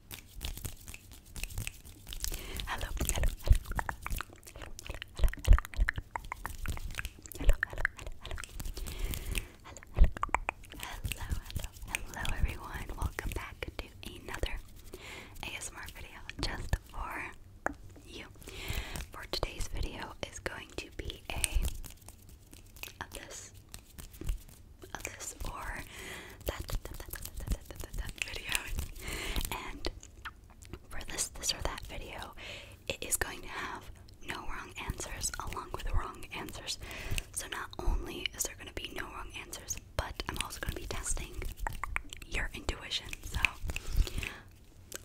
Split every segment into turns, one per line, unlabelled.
hello, hello, hello, hello, hello, hello, hello, hello, hello, hello, hello, hello, hello, hello, everyone. Welcome back to another ASMR video just for you. For today's video is going to be a of this of this or that, video. And for this, this or that video, it is going to have no wrong answers along with wrong answers. So not only is there going to be no wrong answers, but I'm also going to be testing your intuition. So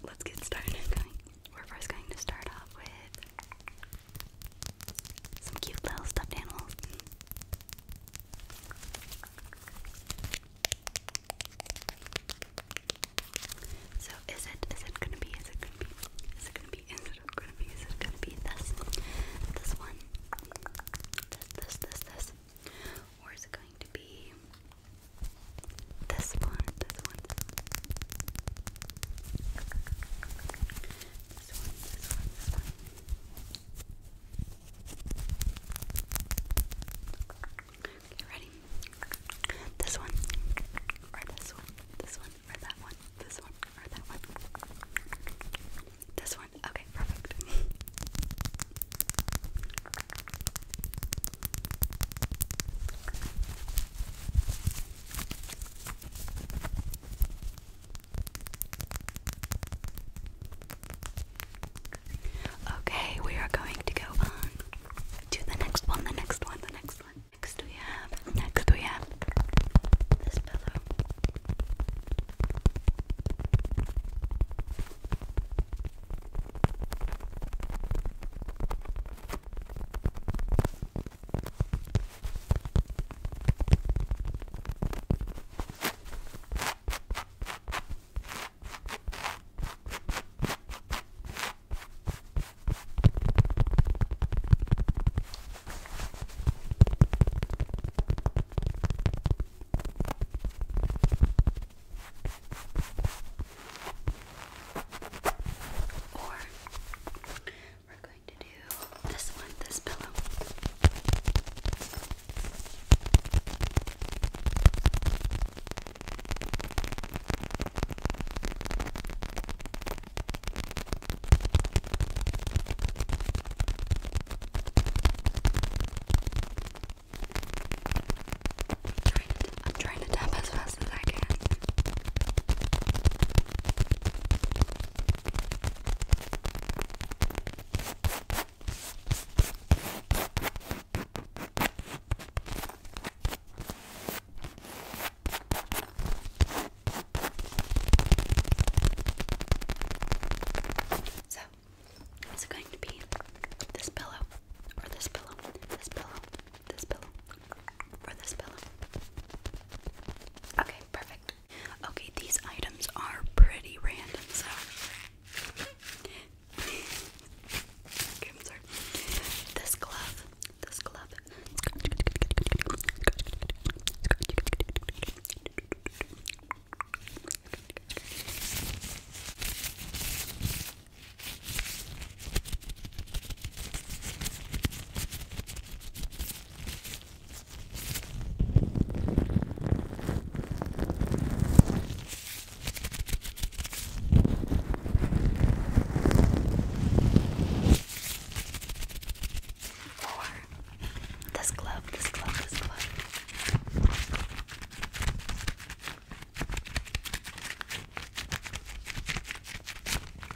let's get started. we're first going to start off with some cute little stuffed animals. So is it is it gonna be is it gonna be is it gonna be is it gonna be is it gonna be this this one this this this this or is it going to be this one this one this one this one this one Okay, ready? This one, or this one, this one, or that one, this one, or that one. This one. Okay, perfect. Okay, we are going to go on to the next one, the next one, the next one. Next we have, next we have this pillow. Or we're this one, this pillow. trying, to, trying to tap as fast as I can. So, is it going to be this pillow, or this pillow, this pillow, this pillow, or this pillow? Okay, perfect. Okay, these items are pretty random, so. this glove, this glove. Or this glove, this glove, this glove.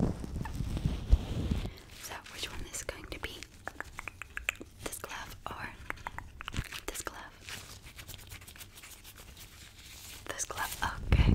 So, which one is going to be this glove or this glove? This glove, okay.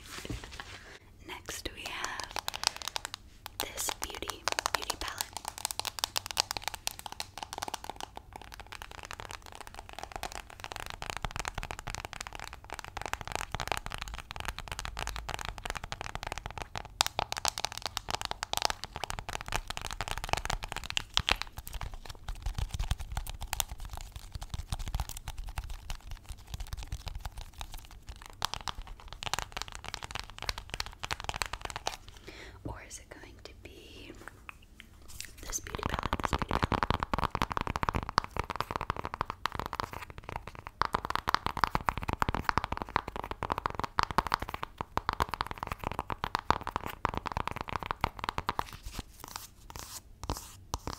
Next, we have this beauty beauty palette. Or is it going to be this beauty palette?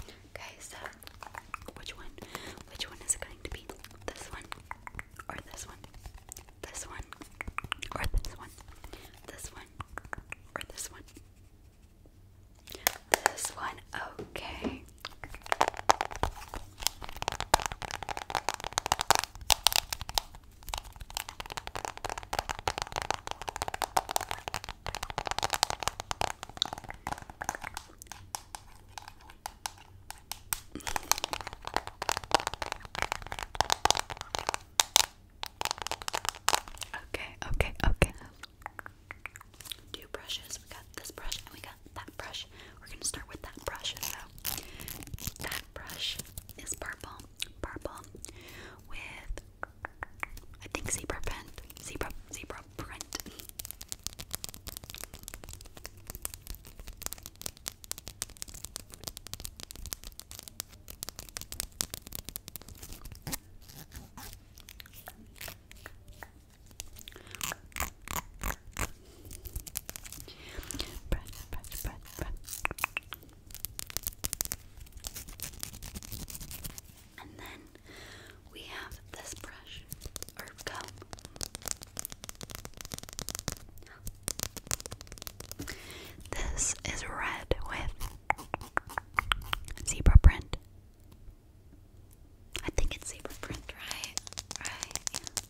Okay, so which one? Which one is it going to be? This one? Or this one? This one? Or this one? This one? Or this one? This one, okay. Okay, okay, okay. Two brushes. We got this brush and we got that brush. We're gonna start with that brush. So brush is purple, purple with I think zebra print, zebra zebra print. And then we have this brush This is red with zebra print. I think it's zebra print, right? Right?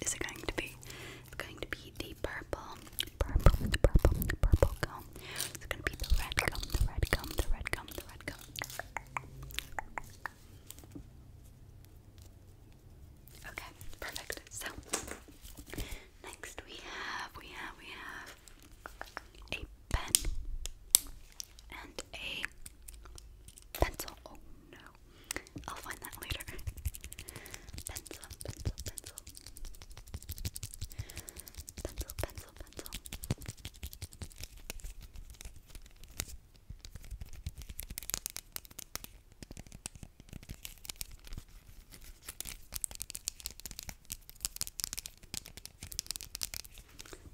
is it going to be? It's going to be the purple, purple, the purple, the purple gum. It's going to be the red gum, the red gum, the red gum, the red gum. Okay, perfect. So next we have, we have, we have a pen and a pencil. Oh no. I'll find that later. pencil, pencil, pencil. Pencil, pencil, pencil.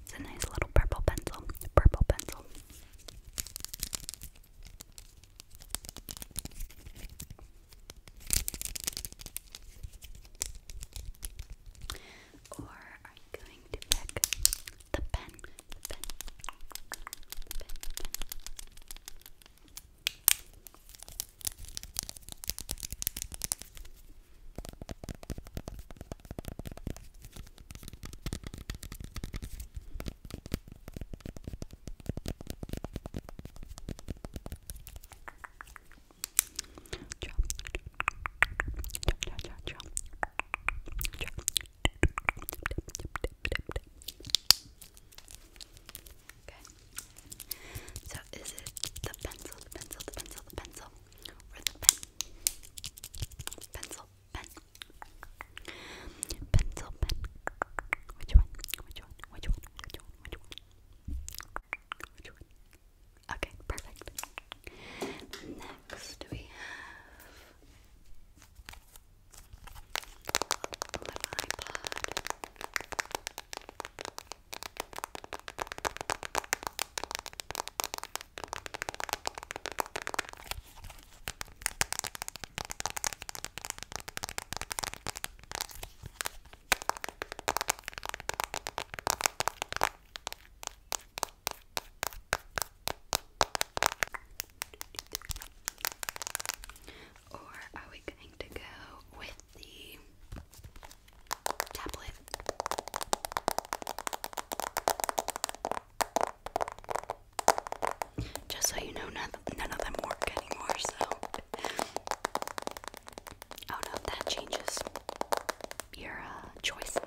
It's a nice little purple pencil, purple pencil. Or are you going to pick the pen? The pen. The pen, the pen. Okay. So is it the pencil, the pencil, the pencil, the pencil, or the pen? Pencil, pen, Pencil pen. Okay, perfect. Next we have an iPod. Or are we going to go with the tablet? Just so you know, none, none of them work anymore, so. Oh no, that changes your uh, choice.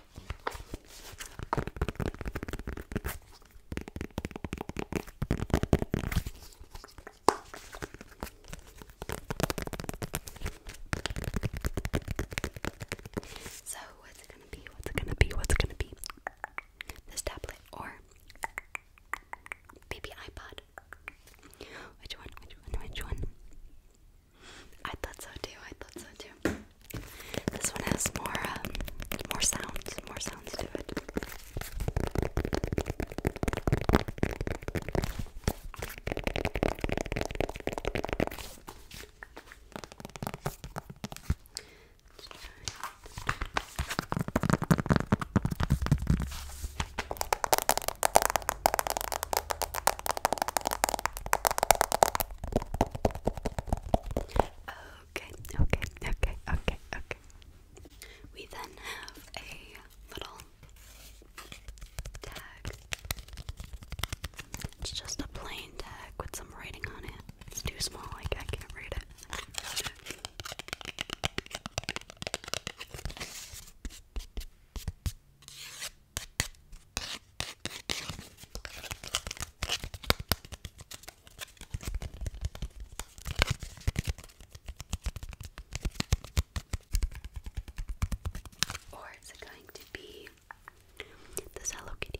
So, what's it gonna be? What's it gonna be? What's it gonna be? This tablet or baby iPod? Which one? Which one? Which one? I thought so too. I thought so too. This one has more um, more sounds, more sounds to it. Okay, okay, okay, okay, okay. We then have a little tag. It's just a plain tag with some writing on it. It's too small, like I can't read it. Or is it going to be this Hello Kitty.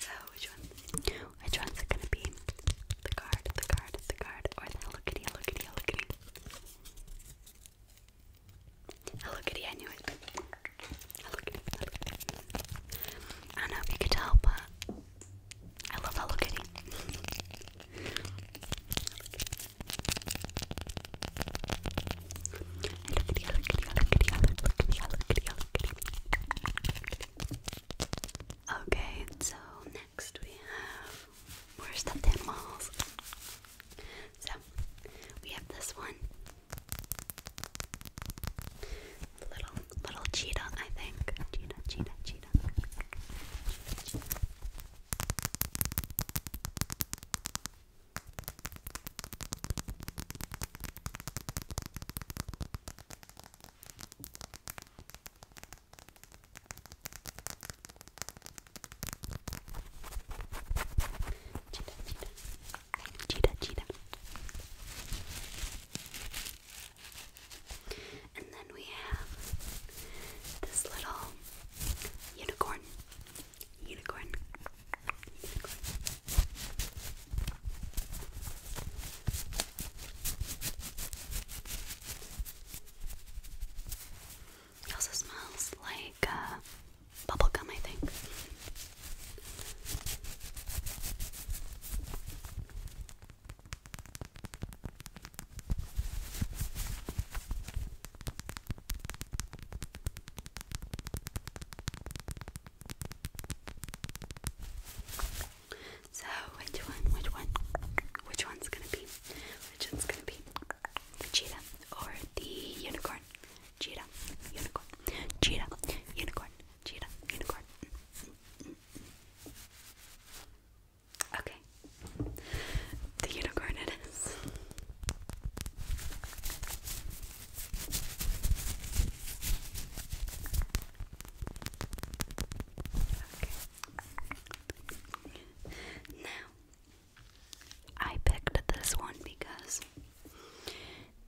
So which one? Which one's it gonna be? The card, the card, the card, or the Hello Kitty, Hello Kitty, Hello Kitty? Hello Kitty, I knew it. Hello Kitty. I don't know if you could tell, but I love Hello Kitty. Hello Kitty, Hello Kitty, Hello Kitty, Hello Kitty, Hello Kitty, Hello Kitty. Okay, so Next we have more stuffed animals. So we have this one. Little little cheetah, I think. cheetah. cheetah, cheetah cheetah, cheetah, cheetah. And then we have this little unicorn, unicorn, unicorn. It also smells like uh, bubblegum, I think. So which one? Which one? Which one's gonna be? Which one's gonna be? The cheetah or the unicorn? Cheetah, unicorn, cheetah, unicorn, cheetah, unicorn. Okay, the unicorn it is. Okay. Now, I picked this one because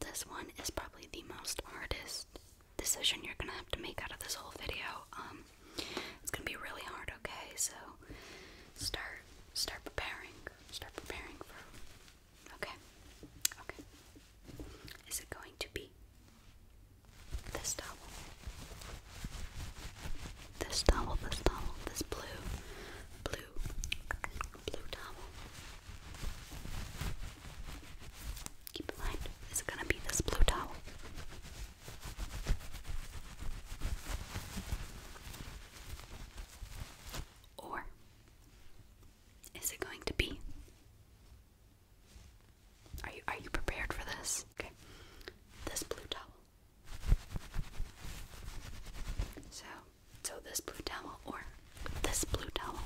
this one is probably the most hardest decision you're gonna have to make out of this whole video. Um, it's gonna be really hard, okay? So start start preparing. Start preparing for okay. Okay. Is it going to be this towel. This towel, this towel, this blue, blue, blue towel. Keep in mind, it's gonna be this blue towel. Or is it going to be are you are you prepared for this? Okay. This blue towel. So so this blue towel or this blue towel.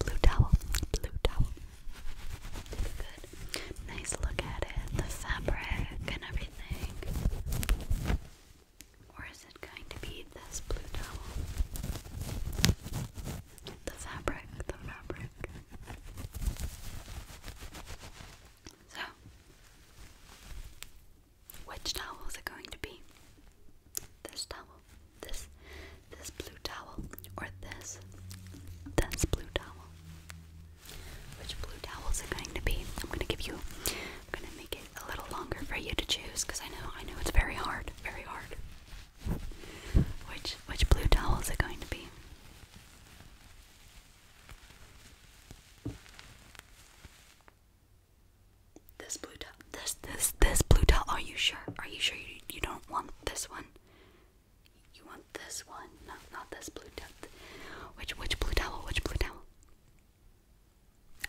Blue towel, blue towel. Good. Nice look at it, the fabric and everything. Or is it going to be this blue towel? The fabric, the fabric. So, which towel is it going to be? This towel, this, this blue towel, or this, this blue towel? Which blue towel is it going to be? I'm gonna give you, I'm gonna make it a little longer for you to choose because I know I know it's very hard, very hard. Which which blue towel is it going to be? This blue towel. This this this blue towel. Are you sure? Are you sure you you don't want this one? You want this one? No, not this blue towel. Which which blue towel? Which blue towel?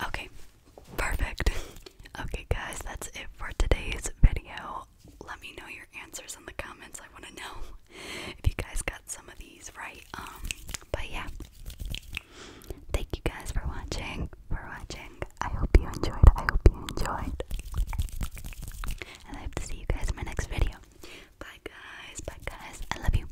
Okay, perfect. Okay, guys, that's it for today's video. Let me know your answers in the comments. I want to know if you guys got some of these right. Um, but yeah, thank you guys for watching. For watching, I hope you enjoyed. I hope you enjoyed, and I hope to see you guys in my next video. Bye, guys. Bye, guys. I love you.